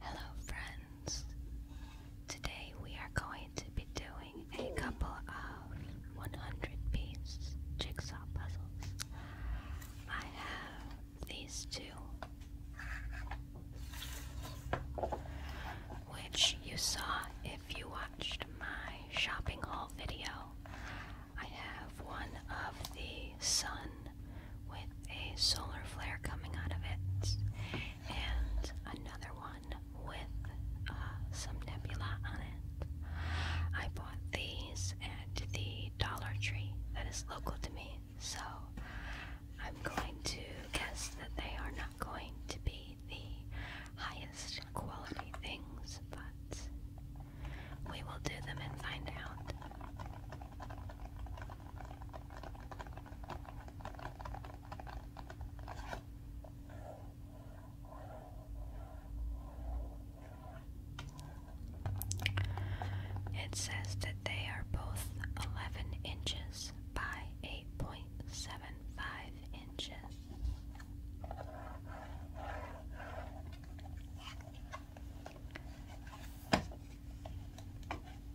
Hello friends! Today we are going to be doing a couple of 100 piece jigsaw puzzles. I have these two, which you saw if you watched my shopping haul video. I have one of the sun with a solar flare coming out of it, and another one with uh, some nebula on it. I bought these at the Dollar Tree that is local to me, so I'm going to guess that they are not going to be the highest quality things, but we will do them and find out. It says that they are both 11 inches by 8.75 inches.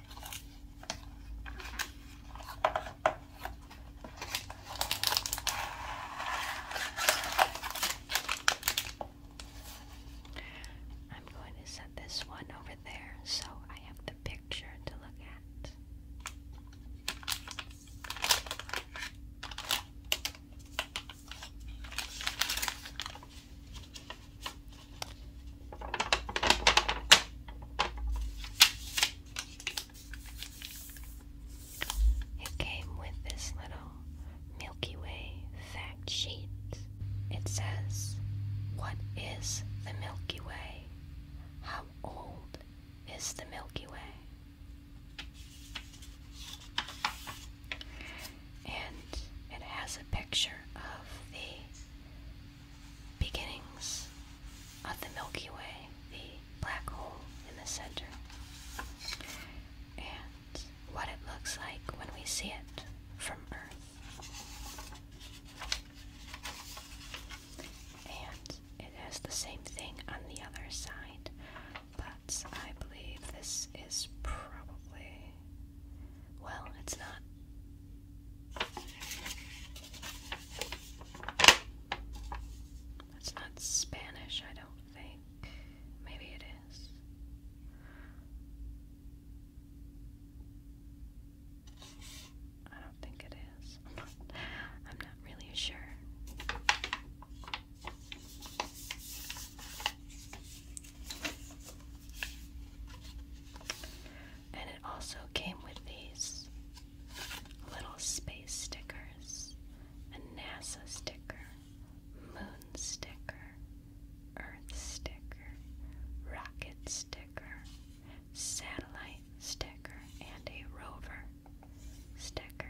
I'm going to set this one over there so I have the picture to look at. It came with this little Milky Way fact sheet. It says, What is the Milky Way? How old is the Milky Way? And it has a picture of the beginnings of the Milky Way, the black hole in the center, and what it looks like when we see it from Earth. And it has the same thing on the other side, but I believe this is probably. Well, it's not that's not Spanish, I don't think. Maybe it is. I don't think it is. I'm not, think its i am not am not really sure and it also came with these little space stickers a NASA sticker, moon sticker, earth sticker, rocket sticker, satellite sticker, and a rover sticker.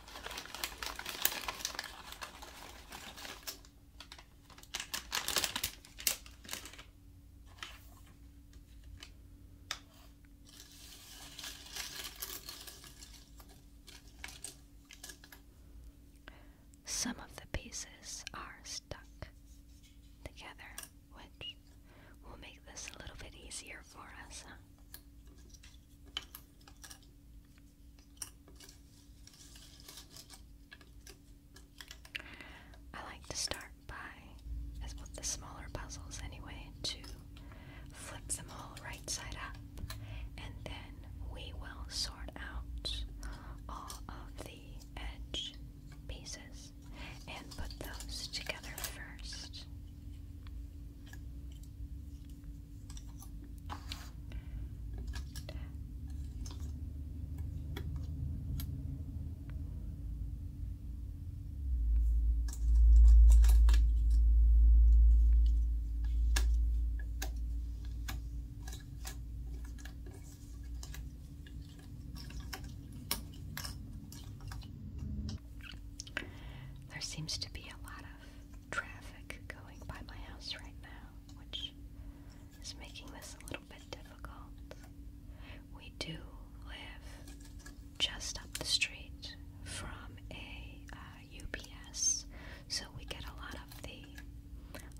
Some of the pieces are stuck together, which will make this a little bit easier for us. I like to start by, as with the smaller puzzles anyway, to flip them all right side up, and then we will sort out all of the edge pieces and put those together first. There seems to be a lot of traffic going by my house right now, which is making this a little bit difficult. We do live just up the street from a UPS, uh, so we get a lot of the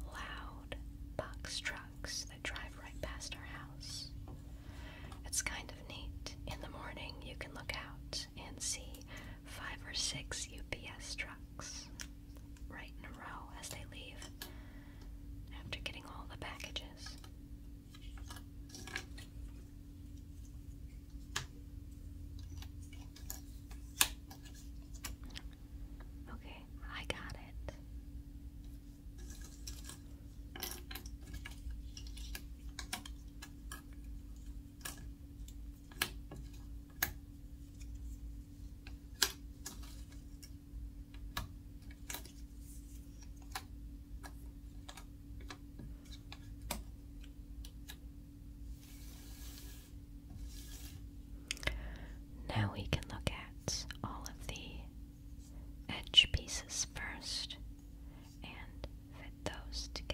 loud box trucks that drive right past our house. It's kind of neat. In the morning, you can look out and see five or six UPS trucks right in a row as they leave after getting all the packages. Okay, I got it. Now we can look at all of the edge pieces first and fit those together.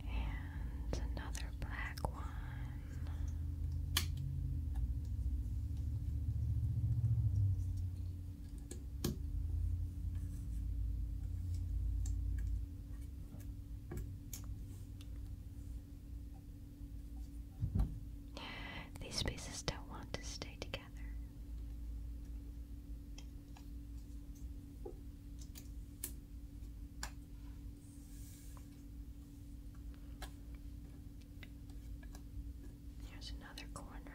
And another black one. These pieces don't want to stay together. There's another corner. Um,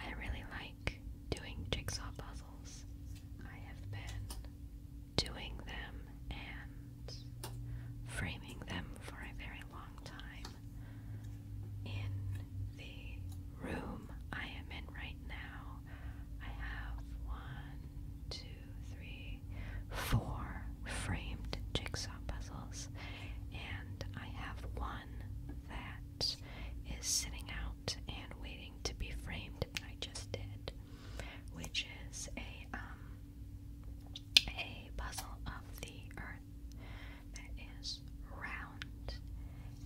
I really like doing jigsaw puzzles. I have been doing them and framing them for a very long time in the room I am in right now. I have one, two, three, four framed jigsaw puzzles, and I have one that is sitting out and waiting to be framed, I just did, which is a um, a puzzle of the Earth that is round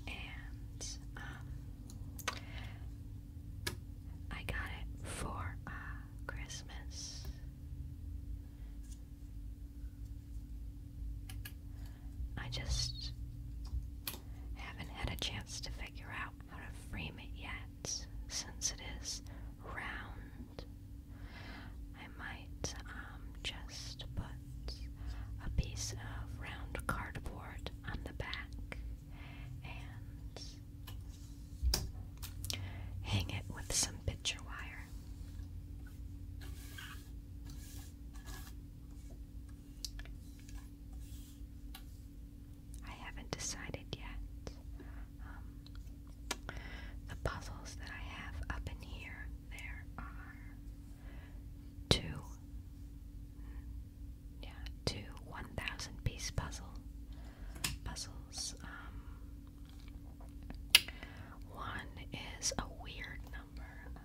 and um, I got it for uh, Christmas. I just haven't had a chance to figure out how to frame it yet. Since it is round, I might um, just put a piece of round cardboard on the back and hang it with some picture wire. I haven't decided yet. Um, the puzzles that I have up in here, there are two, yeah, two 1,000 piece puzzle puzzles. Um, one is a weird number. Uh,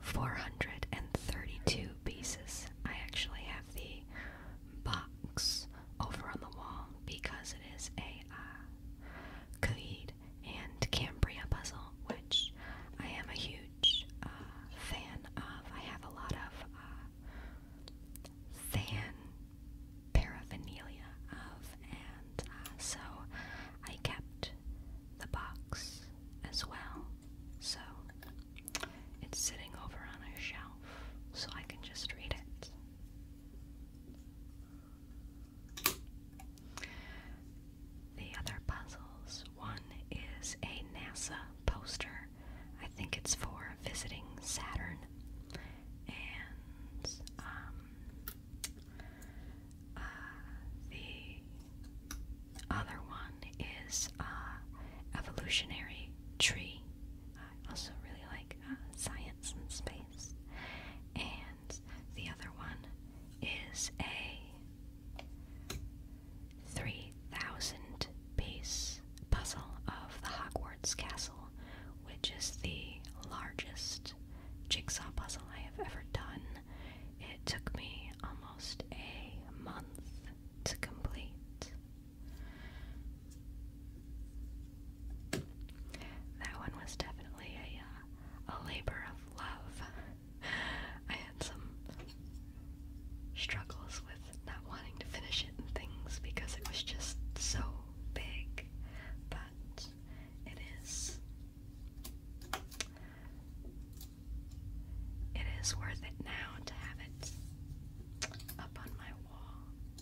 432 pieces. I actually have the box over on the wall because it is a uh, and Cambria puzzle, which I am a huge uh, fan of. I have a lot of uh, fan paraphernalia of, and uh, so I kept the box as well. So it's sitting over on a shelf so I can just read it. The other puzzles one is a NASA poster. I think it's for visiting Saturn. And um, uh, the other one is uh, Evolutionary Tree. I also really like uh, science and space. And the other one is a 3,000 piece puzzle of the Hogwarts Castle, which is the largest jigsaw puzzle I have ever done. It took me almost a month to complete. That one was definitely a, uh, a labor of love. I had some struggles with not wanting to finish it and things because it was just so big, but it is it is worth it now to have it up on my wall.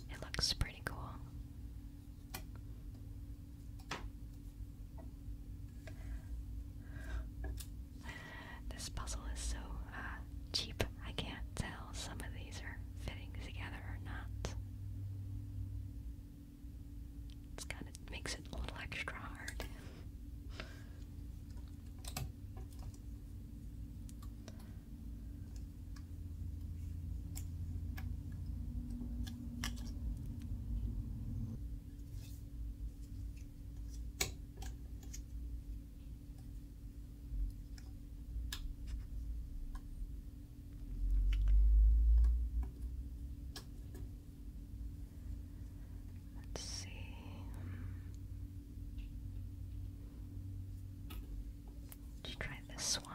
It looks pretty cool. This puzzle is so uh, cheap, I can't tell some of these are fitting together or not. It's kind of makes it a little extra hard. Let's see. Let's try this one.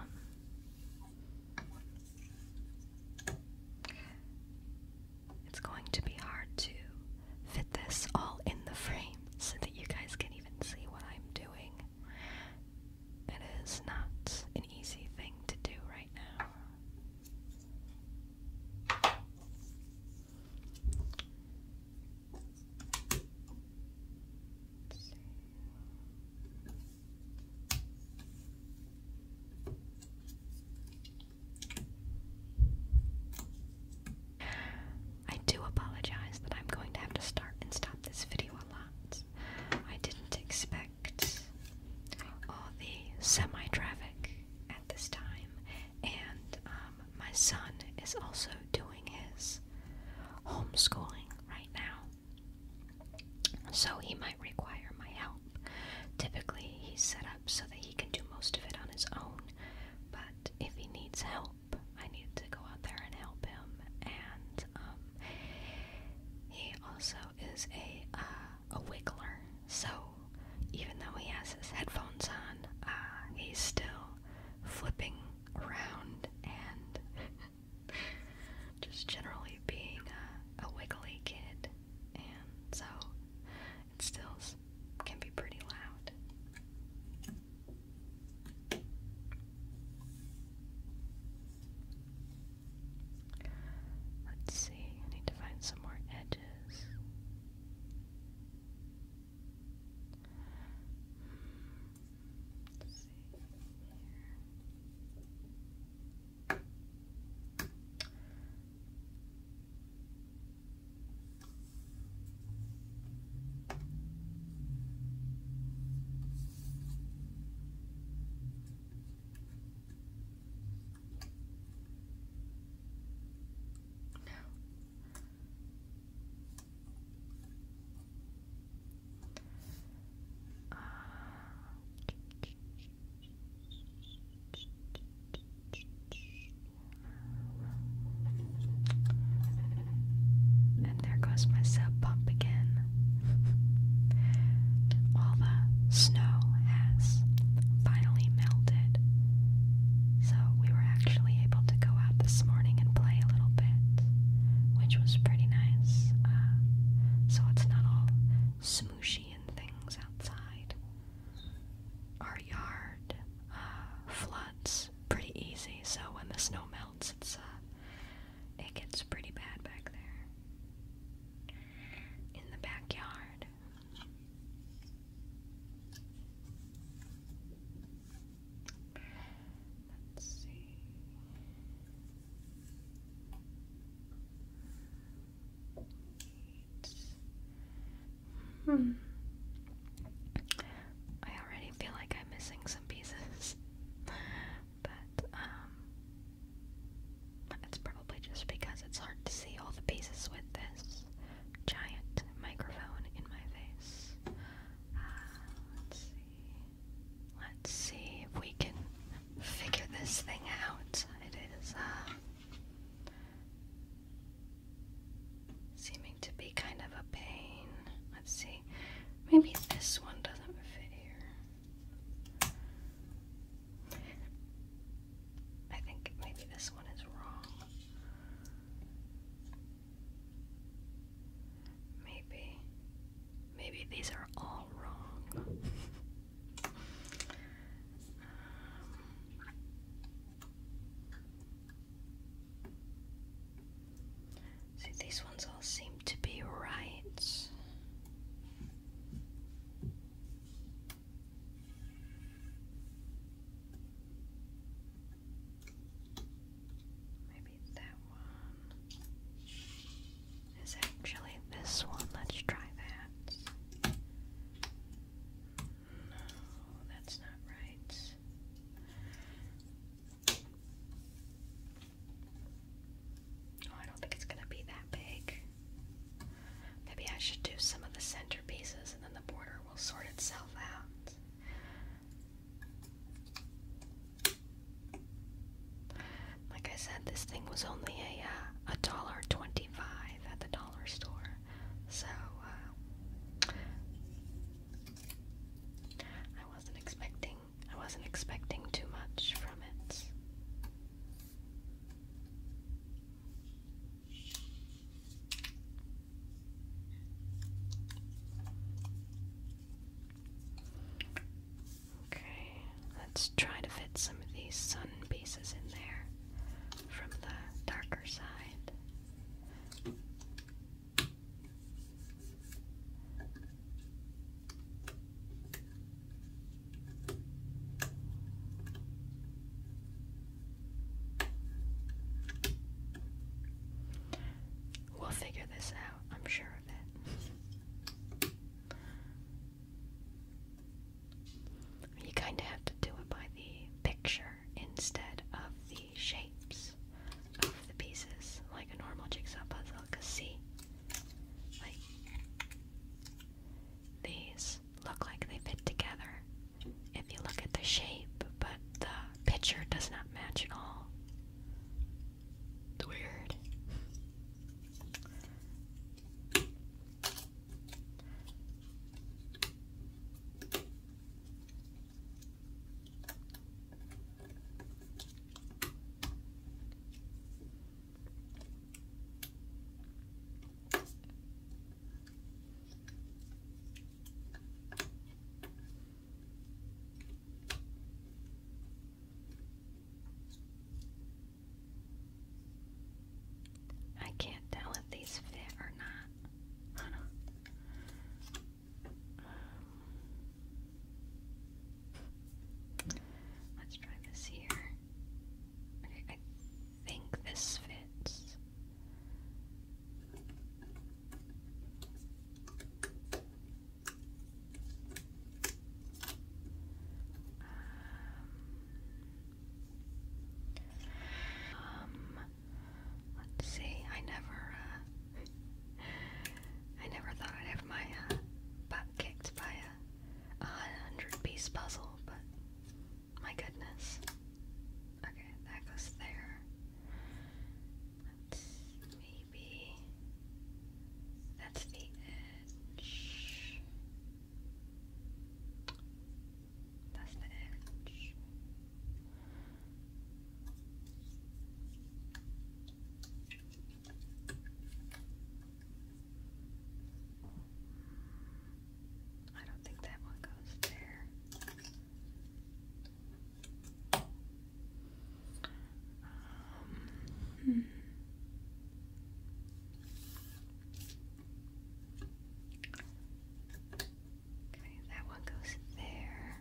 It's going to be hard to fit this all in the frame so that you guys can even see what I'm doing. It is not an easy thing to do right now. I do apologize that I'm going to have to start and stop this video a lot. I didn't expect collect all the semi traffic at this time, and um, my son is also doing his homeschooling right now, so he might require my help. Typically, he's set up so that he can do most of it on his own, but if he needs help, I need to go out there and help him, and um, he also is a uh, a wiggler, so even though he has his headphones on, uh, he's still flipping around and just generally being a, a wiggly kid, and so it stills can be pretty loud. Let's see, I need to find some more edges. Hmm, and there goes my sub pump again. All the snow has finally melted, so we were actually able to go out this morning and play a little bit, which was pretty nice. Uh, so it's not all smushy and things outside. Our yard uh, floods pretty easy, so when the snow melts, it's uh, it gets pretty bad back there in the backyard. Let's see. Hmm. I already feel like I'm missing some pieces. but um, it's probably just because it's hard to see all the pieces with this giant microphone in my face. Uh, let's see. Let's see if we can figure this thing out. It is uh, seeming to be kind of a pain. Let's see. Maybe this one doesn't fit here. I think maybe this one is wrong. Maybe. Maybe these are all wrong. Um, see, these ones seem to be right. Maybe that one is actually this one. Let's try that. No, that's not right. Oh, I don't think it's gonna be that big. Maybe I should do some of the centerpieces and then the border will sort itself out. Like I said, this thing was only a uh, a dollar twenty-five at the dollar store, so uh, I wasn't expecting I wasn't expecting too much from it. Okay, let's try to fit some of these sun pieces in there from the darker side. We'll figure this out, I'm sure of it. You kind of have to do it by the picture instead of the shapes of the pieces, like a normal jigsaw puzzle, because see, like these look like they fit together if you look at the shape, but the picture does not match at all. It's weird. I can't tell if these fit or not. Um, Let's try this here. Okay, I think this fits. Um, um let's see. I never uh, I never thought I'd have my uh, butt kicked by a hundred piece puzzle, but my goodness. Okay, that goes there. Let's maybe that's the edge. That's the edge. I don't think that one goes there. hmm. Okay, that one goes there.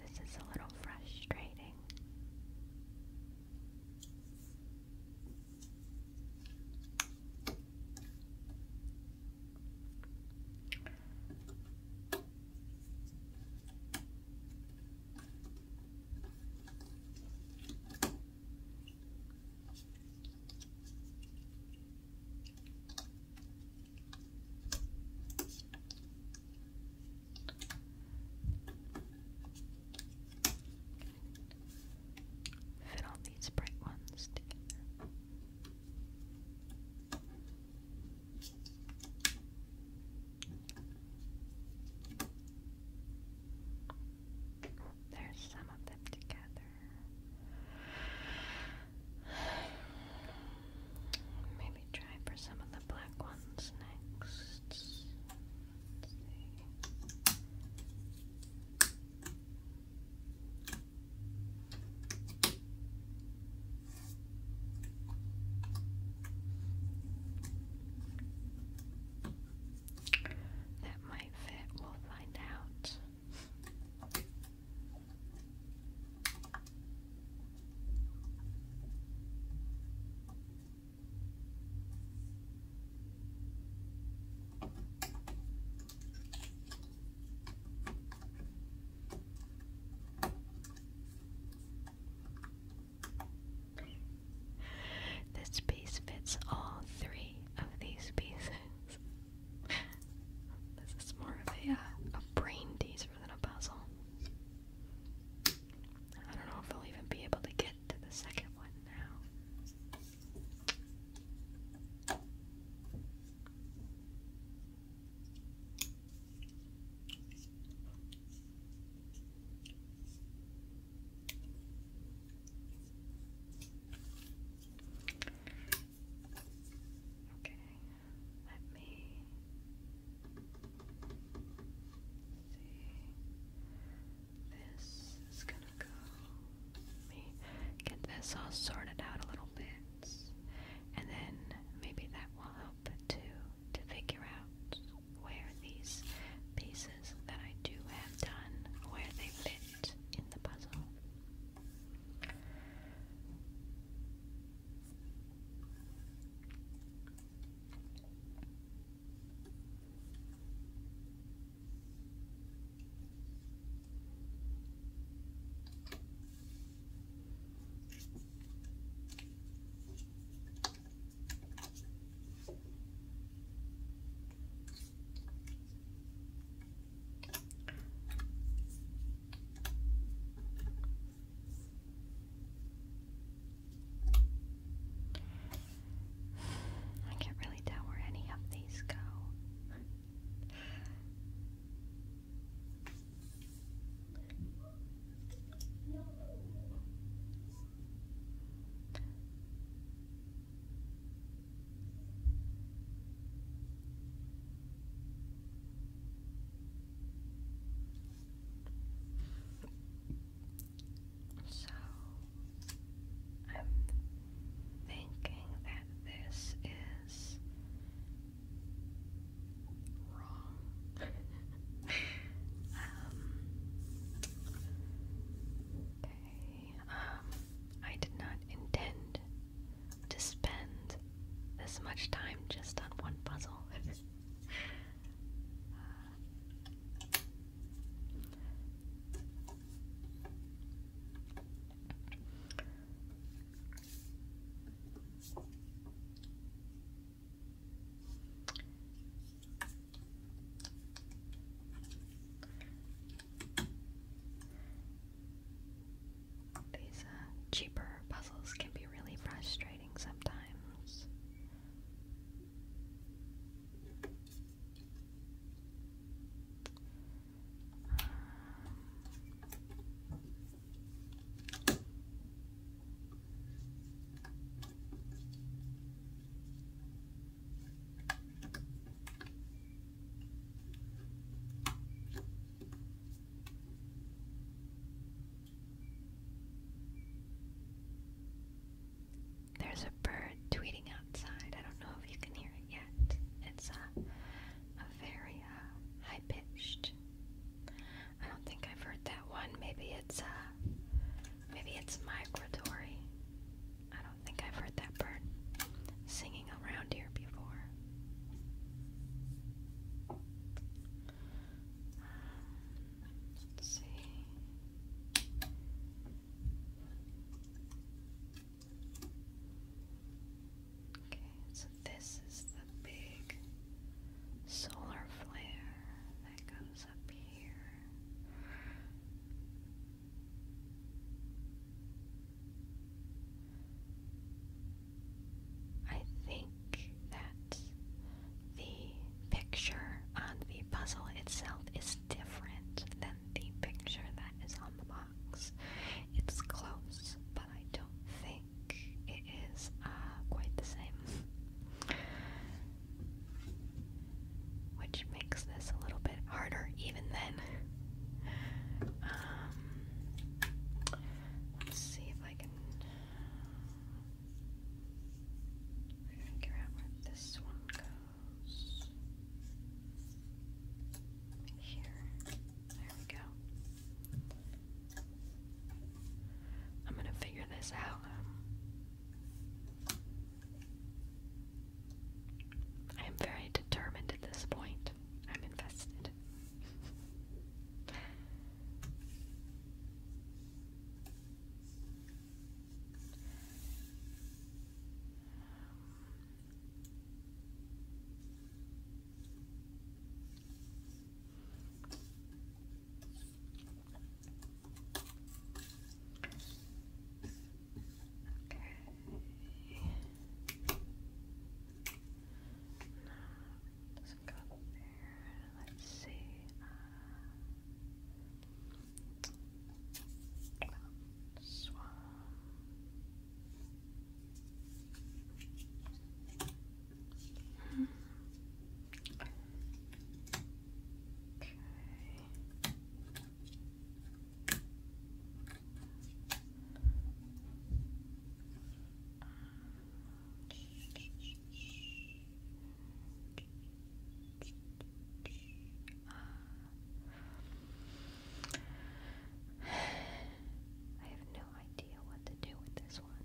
This is a little frustrating. Fit all these bright ones together. There's some of them together. Maybe try for some of the black ones next. That might fit, we'll find out. This piece fits all three of these pieces. this is more of a, uh, a brain teaser than a puzzle. I don't know if I'll even be able to get to the second one now. Okay, let me see. This is gonna go. Let me get this all sorted out a little bit, and then maybe that will help too to figure out where these pieces that I do have done, where they fit in the puzzle. I can't really tell where any of these go. So I'm thinking that this is Um, okay. Um, I did not intend to spend this much time just on one puzzle. Uh, these uh, cheaper puzzles can be really frustrating sometimes. Um, there's a bird tweeting outside. I don't know if you can hear it yet. It's a, very uh, high pitched I don't think I've heard that one. Maybe it's a uh, maybe it's migratory. I don't think I've heard that bird singing around here before. let's see. Okay, so this is the big solar flare that goes up here. I think that the picture on the puzzle itself is different than the picture that is on the box. It's close, but I don't think it is uh, quite the same. Which makes this a little bit harder even then. Um, let's see if I can figure out where this one goes. Here. There we go. I'm gonna figure this out. I am very determined at this point. I'm invested. Okay. No, doesn't go there. Let's see. Uh, um, swam. Okay. Mm -hmm. I have no idea what to do with this one.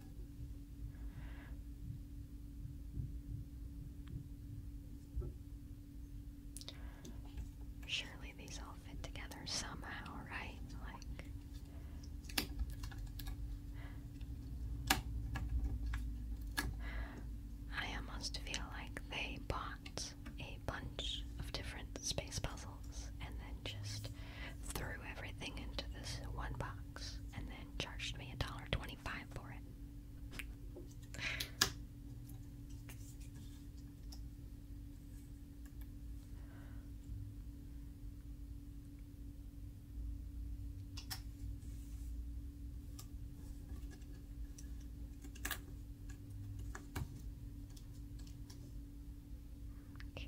Surely these all fit together somehow, right? Like. I almost feel like they bought a bunch of different space puzzles and then just threw everything into this one box and then charged me a dollar twenty-five time for it. Okay.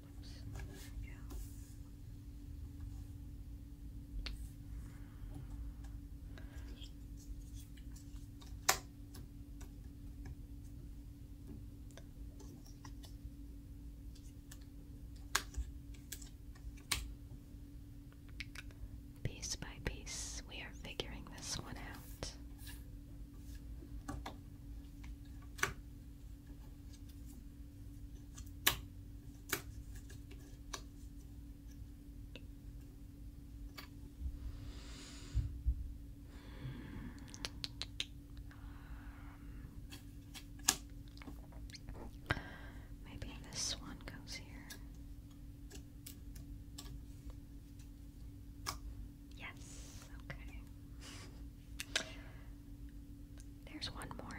Piece by piece, we are figuring this one out. Maybe this one goes here. Yes, okay. There's one more.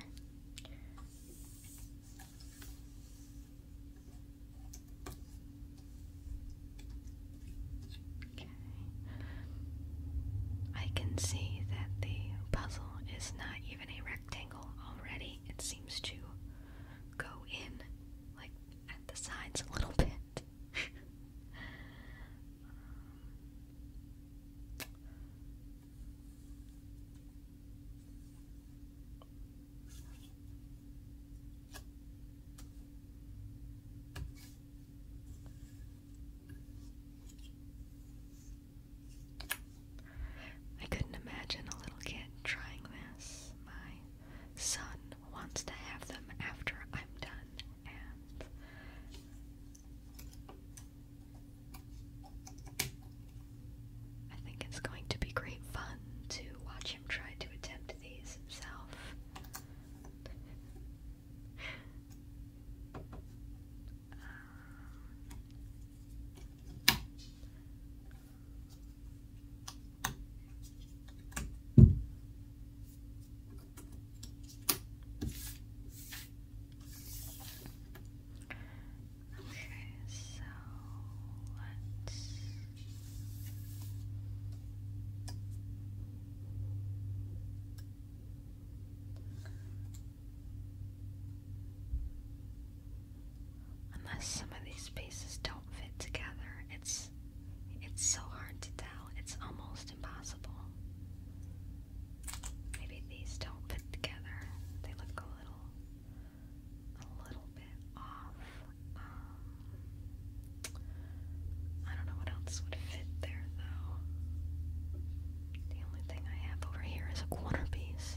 Okay. I can see that the puzzle is not even a rectangle already. It seems to go in like at the sides a little bit. I couldn't imagine a little kid trying this. My son wants to have them after I'm done, I think it's going to be great fun to watch him try to attempt these himself. Okay, so Unless some of these pieces don't fit together, it's it's so hard to it's almost impossible. Maybe these don't fit together. They look a little, a little bit off. Um, I don't know what else would fit there though. The only thing I have over here is a quarter piece.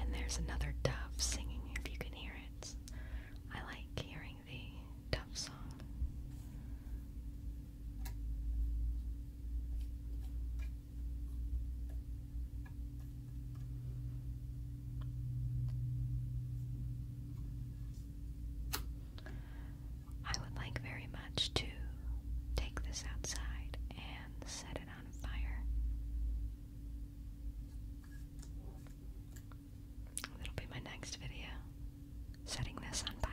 And there's another dove singing, if you can hear it. I like hearing the dove song. I would like very much to take this outside and set it on fire. That'll be my next video. Setting this on fire.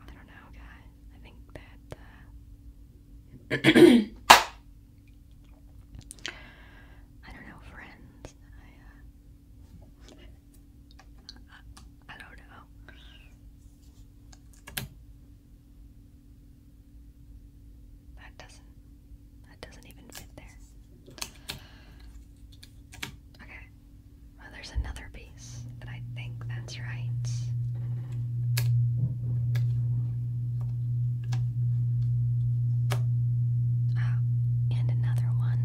I don't know, guys. I think that, uh, I don't know, friends. Uh, I, don't know. That doesn't that doesn't even fit there. Okay. Well, there's another piece, but I think that's right. Oh, and another one.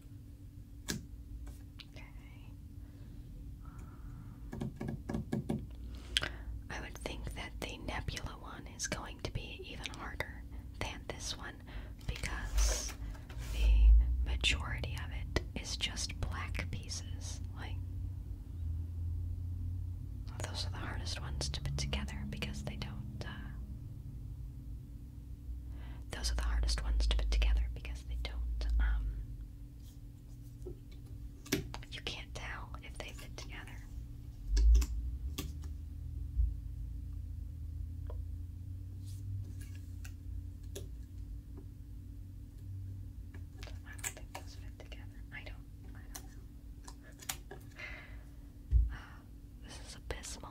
Um, I would think that the nebula one is going to be even harder than this one because the majority of it is just black pieces. Like, those are the hardest ones to put together because they don't. Uh, those are the hardest ones to put together because they don't, um, you can't tell if they fit together. I don't think those fit together. I don't, I don't know. Uh, this is abysmal.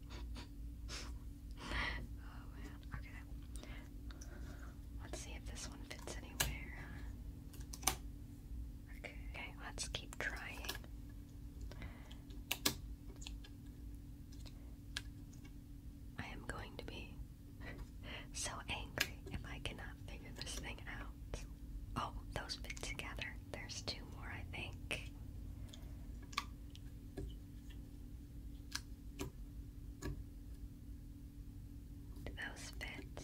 Oh, let's see if this one fits anywhere. okay let's keep trying. I am going to be so angry if I cannot figure this thing out. Oh, those fit together. There's two more, I think. Do those fit?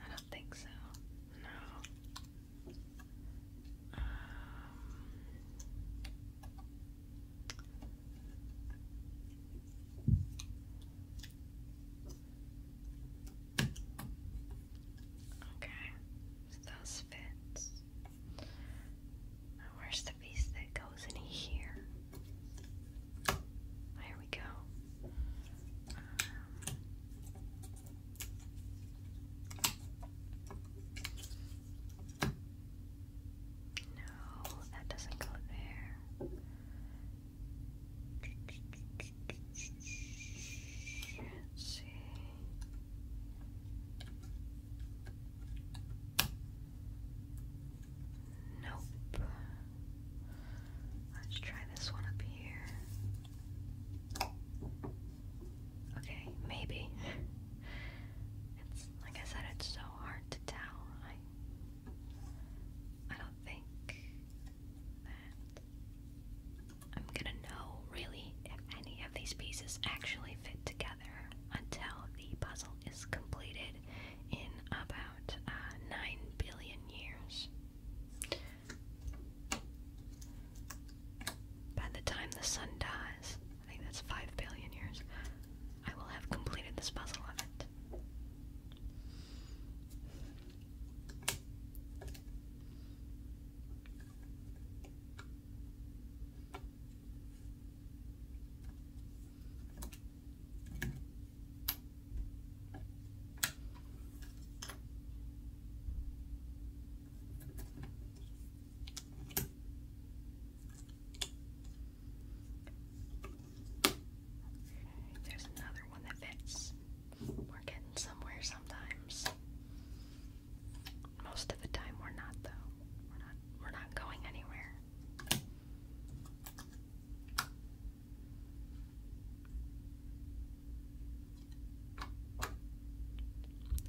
I don't think so. No. Um, Okay, so those fit where's the piece that goes in here? There we go. Um, no, that doesn't go there. Let's see. Nope. Let's try this one up here. Okay, maybe. It's like I said, it's so hard to tell. I I don't think that I'm gonna know really if any of these pieces actually fit together until the puzzle is completed in about uh, 9 billion years. By the time the sun dies, I think that's 5 billion years, I will have completed this puzzle of it. There's another one that fits. We're getting somewhere sometimes. Most of the time we're not though. We're not we're not going anywhere.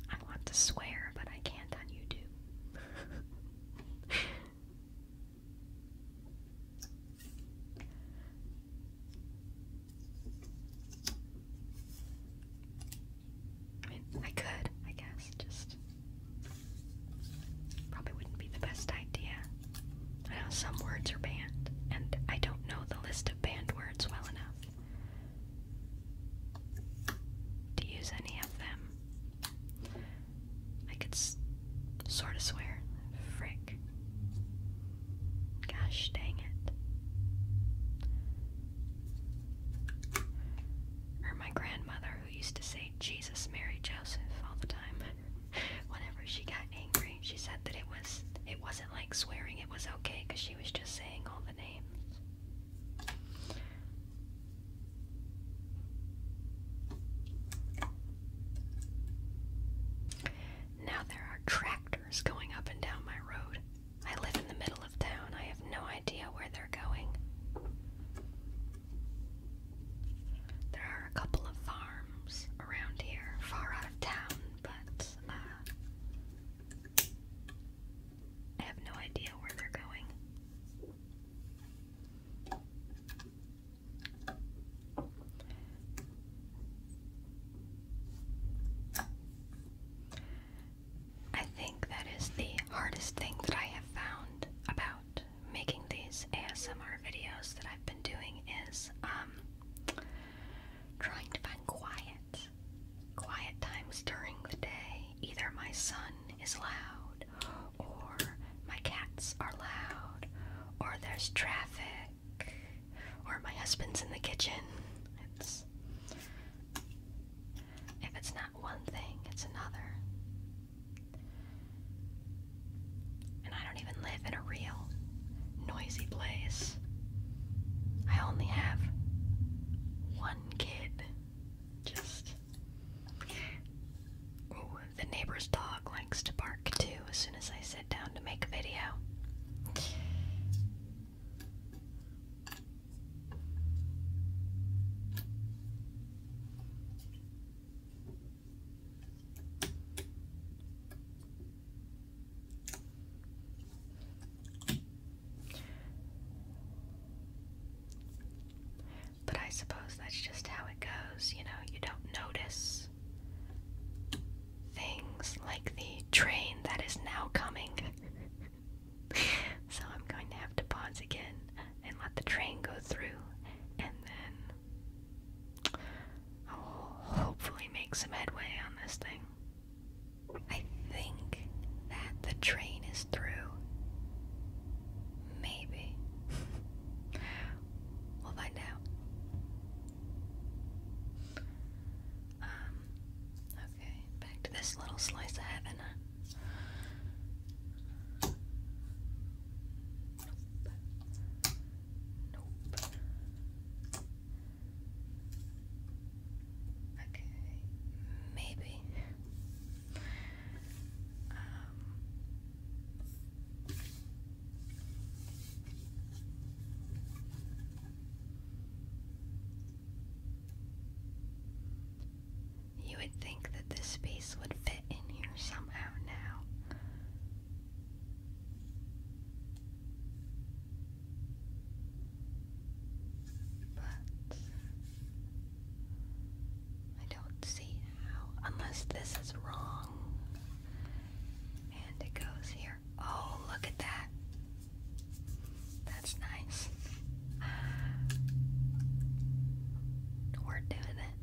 I want to swear, but I can't on YouTube. I could, I guess, just probably wouldn't be the best idea. I know some words are banned, and I don't know the list of banned words well enough to use any of them. I could sort of swear. Frick. Gosh dang it. Or my grandmother, who used to say Jesus, Mary, Joseph all the time. Whenever she got angry, she said that it was it wasn't like swearing; it was okay because she was just saying all the names. Now there are tractors going up and down my road. I live in the middle of town. I have no idea where they're going. There are a couple of farms around here, far out of town, but uh, I have no idea where they're going. I think that is the hardest thing that I have found about making these ASMR videos that I've been doing is um, trying to find quiet. Quiet times during the day. Either my son is loud or my cats are loud or there's traffic or my husband's in the kitchen. It's if it's not one thing, it's another. And I don't even live in a real noisy place. I only have one kid. Just. the neighbor's dog likes to bark too as soon as I sit down to make video. But I suppose that's just how it goes, you know, you don't notice things like the train that is now coming. so I'm going to have to pause again and let the train go through and then I'll hopefully make some headway on this thing. I think that the train is through. Maybe. we'll find out. Um, Okay, back to this little slice of heaven. Nope. Nope. Okay, maybe. Um, you would think that this space would fit in here somehow now. But I don't see how, unless this is wrong. And it goes here. Oh, look at that. That's nice. We're doing it.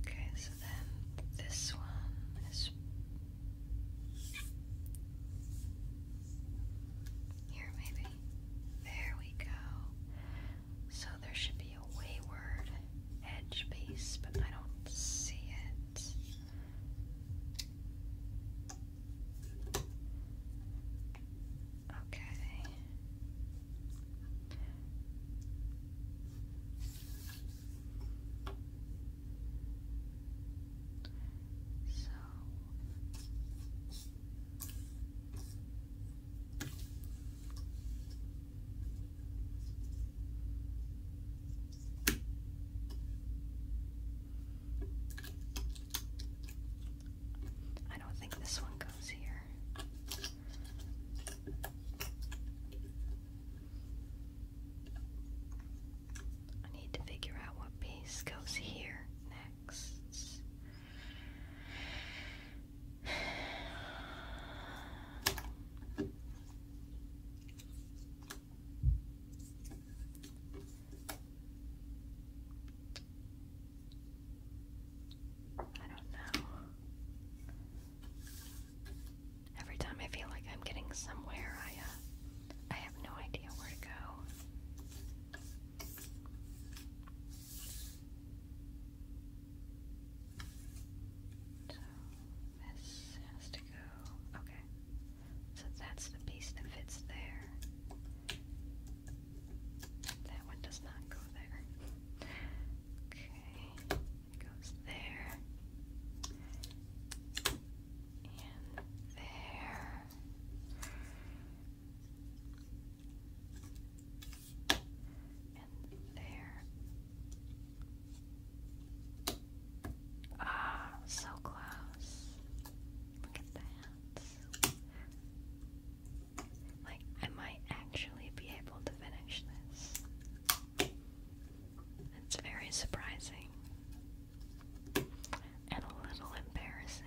okay, so then this one is here, maybe. There we go. So there should be a wayward edge piece, but I don't see it. Okay. So I don't think this one goes here. I need to figure out what piece goes here next. I don't know. Every time I feel like I'm getting somewhere, I uh, I have no idea where to go. So this has to go. Okay. So that's the piece that fits there. That one does not go there. Okay. It goes there. And there there. Ah, so close. Look at that. Like, I might actually be able to finish this. It's very surprising and a little embarrassing.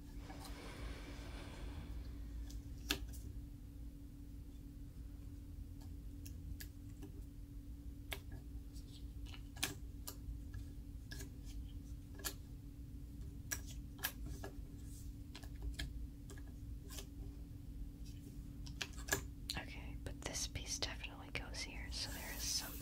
Okay, but this piece definitely goes here, so there is something.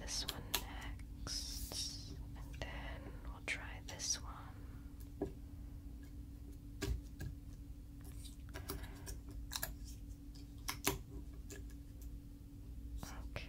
this one next, and then we'll try this one. Okay.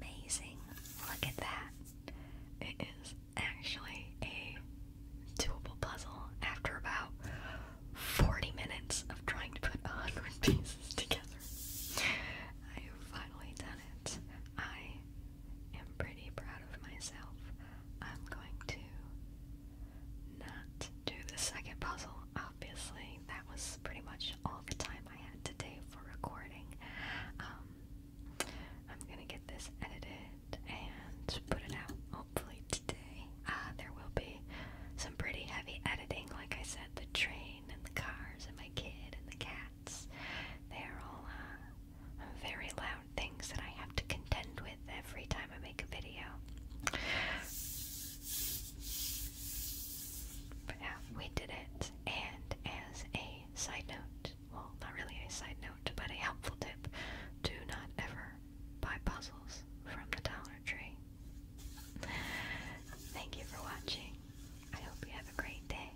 Amazing. Look at that. It is actually a doable puzzle after about 40 minutes of trying to put 100 pieces together. I finally done it. I am pretty proud of myself. I'm going to not do the second puzzle. Obviously, that was pretty much all the time I had today for recording. Um, I'm gonna get this edited and put it out hopefully today. Uh, there will be some pretty heavy editing, like I said, the train and the cars and my kid and the cats. They are all uh, very loud things that I have to contend with every time I make a video. But yeah, we did it. And as a side note, well, not really a side note, but a helpful tip, do not ever buy puzzles from the Dollar Tree. Thank you for watching. I hope you have a great day.